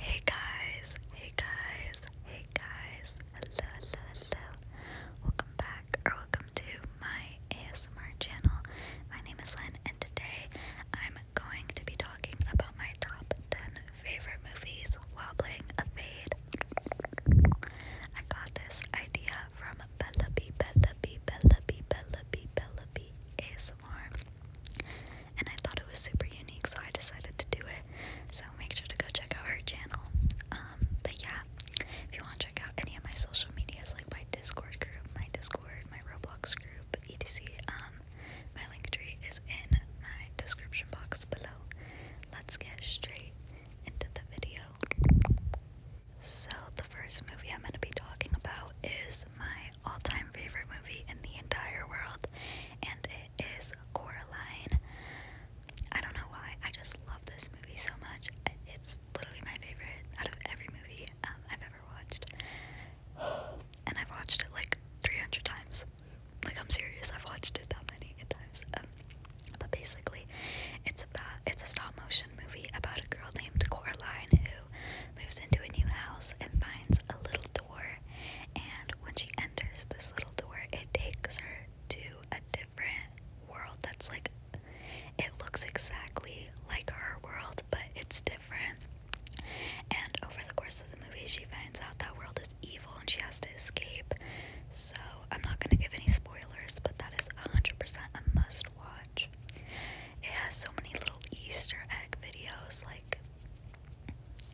Hey guys, hey guys, hey guys, hello, hello, hello. Welcome back or welcome to my ASMR channel. My name is Lynn and today I'm going to be talking about my top 10 favorite movies while playing a fade. I got this idea from Bella B, Bella B, Bella B, Bella B, Bella B ASMR and I thought it was super unique, so I decided to do it. So make sure to go check out her channel. Um, but yeah, if you want to check out any of my social medias, like my Discord group, my Discord, my Roblox group, etc., um, my link tree is in my description box below. Let's get straight into the video. So the first movie I'm going to be talking about is my all time favorite movie in the entire world, and it is Coraline. I don't know why, I just love this movie so much. It's literally my favorite out of every movie um, I've ever watched. And I've watched it like 300 times. Like, I'm serious, I've watched it that many times. Um, but basically, it's about it's a stop motion movie about a girl named Coraline who moves into a new house and finds a little door. And when she enters this little door, it takes her to a different world that's like it looks exactly like her world, but it's different. And over the course of the movie, she finds out that world is evil and she has to escape. So, I'm not going to give any spoilers, but that is 100% a must watch. It has so many little Easter egg videos. Like,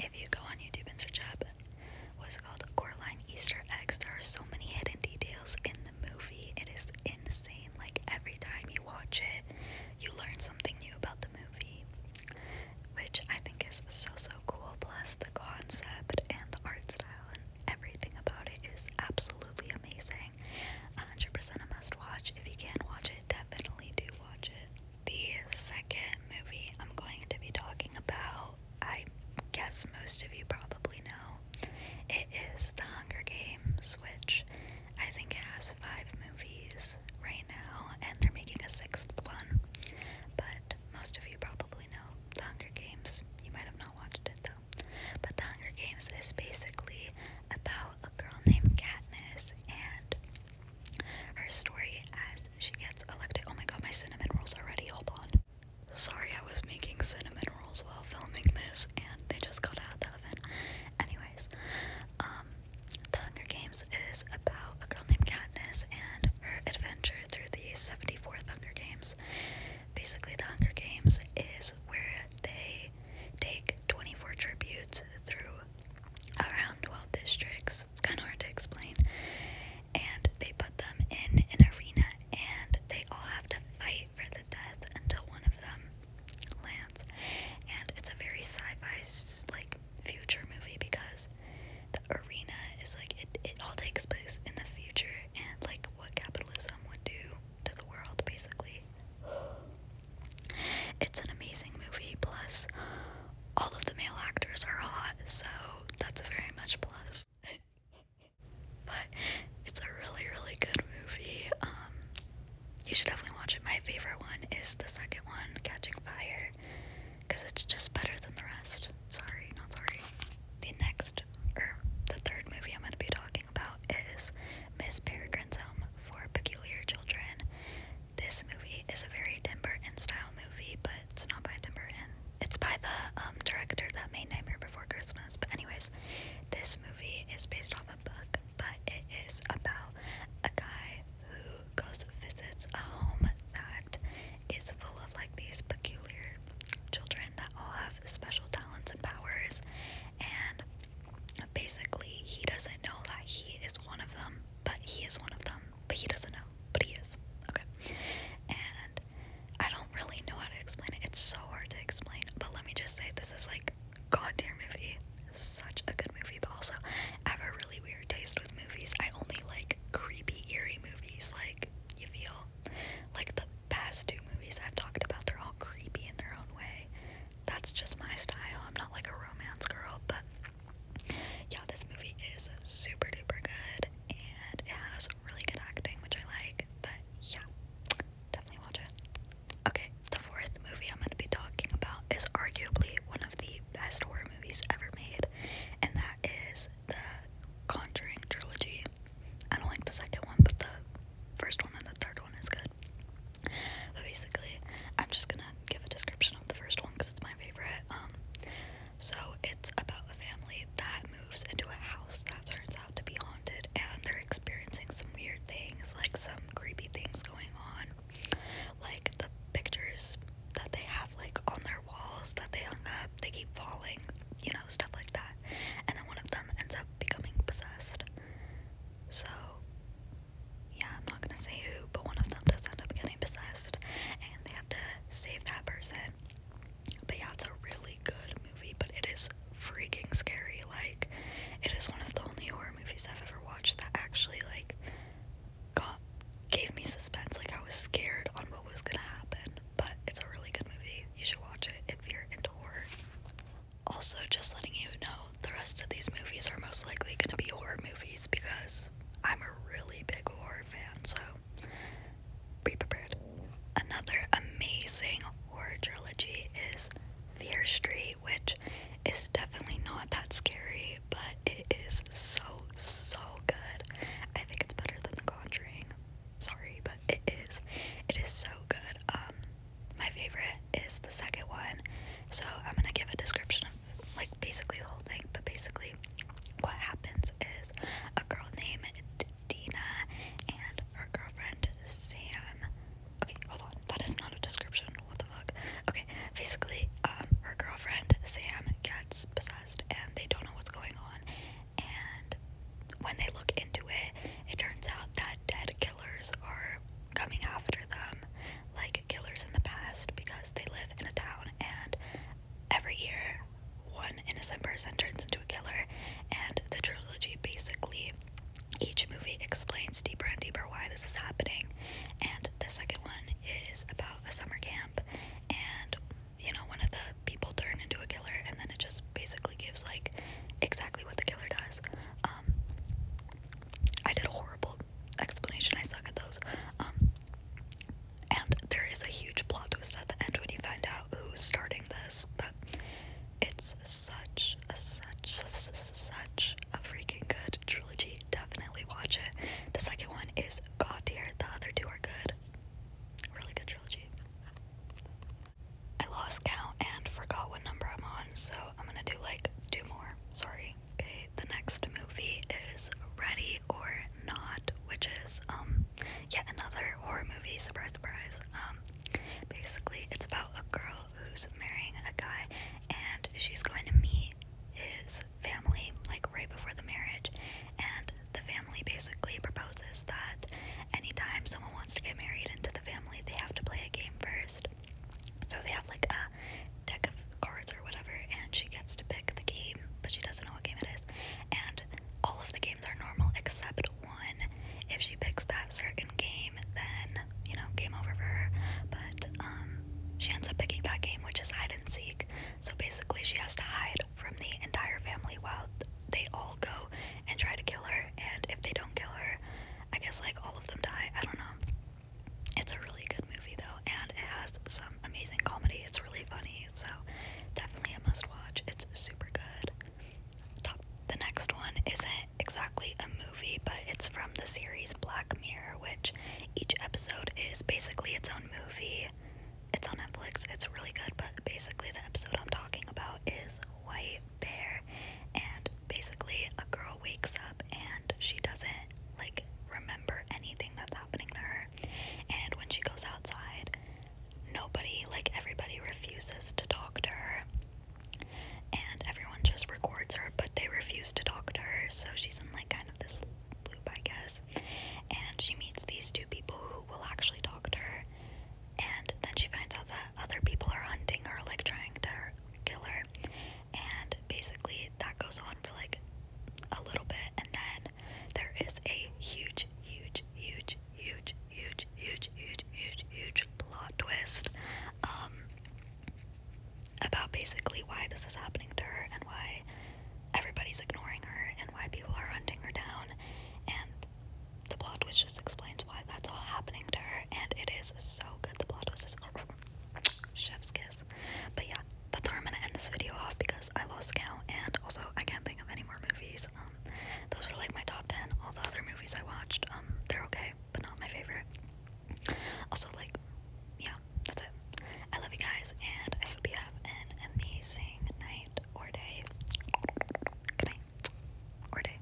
if you go on YouTube and search up what's it called Coraline Easter eggs, there are so many hidden details in the movie. It is insane. Like, every time you watch it, you learn something new about the movie, which I think is so so cool. Plus, the concept and the art style and everything about it is absolutely amazing amazing. 100% a must watch. If you can not watch it, definitely do watch it. The second movie I'm going to be talking about, I guess most of you probably know, it is The Hunger Games, which I think has five movies right now, and they're making a sixth one. But most of you probably know The Hunger Games. You might have not watched it though. But The Hunger Games is basically about a girl named Katniss and her story as she gets elected. Oh my god, my cinnamon rolls already. Hold on. Sorry, I was making cinnamon rolls while filming this and they just got out of the oven. Anyways, um, The Hunger Games is about a girl named Katniss and her adventure through the 74th Hunger Games. Basically, The Hunger Games is where they take 24 tributes through around 12 districts. It's kind of hard to explain. And they put them in an arena and they all have to fight for the death until one of them lands. And it's a very sci-fi like future movie because the arena is like it, it all takes place in the future and like what capitalism would do to the world basically. It's an amazing movie, plus, all of the male actors are hot, so that's very much plus. but it's a really, really good movie. Um, you should definitely watch it. My favorite one is the second one, Catching Fire, because it's just better than the rest. Sorry, not sorry. The next, or the third movie I'm going to be talking talking about is Miss Peregrine's Home for Peculiar Children. This movie is a very Tim Burton style movie, but it's not by Tim Burton. It's by the um, director that made Nightmare Before Christmas. But, anyways, this movie is based off a book, but it is about a guy who goes visits a home that is full of like these peculiar children that all have special talents and powers. And basically he doesn't know that he is one of them, but he is one of them, but he doesn't know, but he is. Okay. And I don't really know how to explain it. It's so hard to explain, but let me just say this is like God goddamn movie. Such a good movie, but also I have a really weird taste with movies. I only like creepy, eerie movies. Like you feel like the past two movies I've talked about, they're all creepy in their own way that's just my style. I'm not like a romance girl, but yeah, this movie is super duper good and it has really good acting, which I like. But yeah, definitely watch it. Okay, the fourth movie I'm going to be talking about is arguably one of the best horror movies ever made, and that is the Conjuring trilogy. I don't like the second one, but the first one and the third one is good. But basically, I'm just gonna give a description of the first one because it's my favorite. Um, so it's about a family that moves into a house that turns out to be haunted, and they're experiencing some weird things, like some creepy things going on, like the pictures that they have like on their walls that they hung up, they keep falling, you know, stuff like that. And then one of them ends up becoming possessed. So yeah, I'm not gonna say who, but one of them does end up getting possessed and they have to save that person. But yeah, it's a really good movie, but it is freaking scary. Like, it is one of the only horror movies I've ever watched that actually, like, got gave me suspense. Like, I was scared on what was gonna happen, but it's a really good movie. You should watch it if you're into horror. Also, just letting you know, the rest of these movies are most likely going to be horror movies because I'm a really big horror fan, so be prepared. Another amazing horror trilogy is Fear Street, which is definitely not that scary, but it is so, so good. I think it's better than The Conjuring. Sorry, but it is. It is so good. Um, my favorite is the second one. So I'm gonna give a description of like basically the whole thing, but basically what happens is a girl named Dina and her girlfriend Sam. Okay, hold on. That is not a description. What the fuck? Okay, basically, um, her girlfriend Sam gets possessed and they don't know what's going on. And when they look into it, it turns out that dead killers are coming after them like killers in the past because they live in a town and every year one innocent person turns into a killer and the trilogy basically each movie explains deeper and deeper why this is happening and the second one is about a summer camp and you know one of the people turn into a killer and then it just basically gives like exactly what the killer does um, I did a horrible explanation. I suck at those. Um, and there is a huge plot twist at the end when you find out who's starting this, but it's such, a, such, such a freaking good trilogy. Definitely watch it. The second one is god tier. The other two are good. Really good trilogy. I lost count and forgot what number I'm on, so I'm gonna do like two more. Sorry. Okay, the next movie is Ready or Not, which is um yet another horror movie. Surprise, surprise. Um, basically, it's about a girl who's marrying a guy, and she's going to meet his family like right before the marriage, and the family basically proposes that anytime someone wants to get married into the family, they have to play a game first. So they have like a deck of cards or whatever, and she gets to pick the game, but she doesn't know what game it is. And all of the games are normal except one. If she picks that certain game, then you know, game over for her. But um, she ends up picking that game, which is hide and seek. So basically, she has to hide from the entire family while they all go and try to kill her. And if they don't kill her, I guess like all of them die. I don't know. It's a really good movie though, and it has some amazing comedy. It's really funny, so definitely a must watch. It's super good. The next one isn't exactly a movie, but it's from the series Black Mirror, which each episode is basically its own movie. It's on Netflix. It's really good, but basically the episode I'm talking about is white bear and basically a girl wakes up and she doesn't like remember anything that's happening to her and when she goes outside nobody like everybody refuses to talk to her and everyone just records her but they refuse to talk to her so she's in like kind of this loop I guess and she meets these two people who will actually talk to her and then she finds out that other people are hunting her like trying to killer, and basically that goes on for like a little bit, and then there is a huge, huge, huge, huge, huge, huge, huge, huge, huge plot twist um, about basically why this is happening to her and why everybody's ignoring her and why people are hunting her down, and the plot twist just explains that's why that's all happening to her, and it is so good. The blood was chef's kiss. But yeah, that's where I'm gonna end this video off because I lost count, and also I can't think of any more movies. Um, those are like my top ten. All the other movies I watched, um, they're okay, but not my favorite. Also, like, yeah, that's it. I love you guys, and I hope you have an amazing night or day. Good night or day.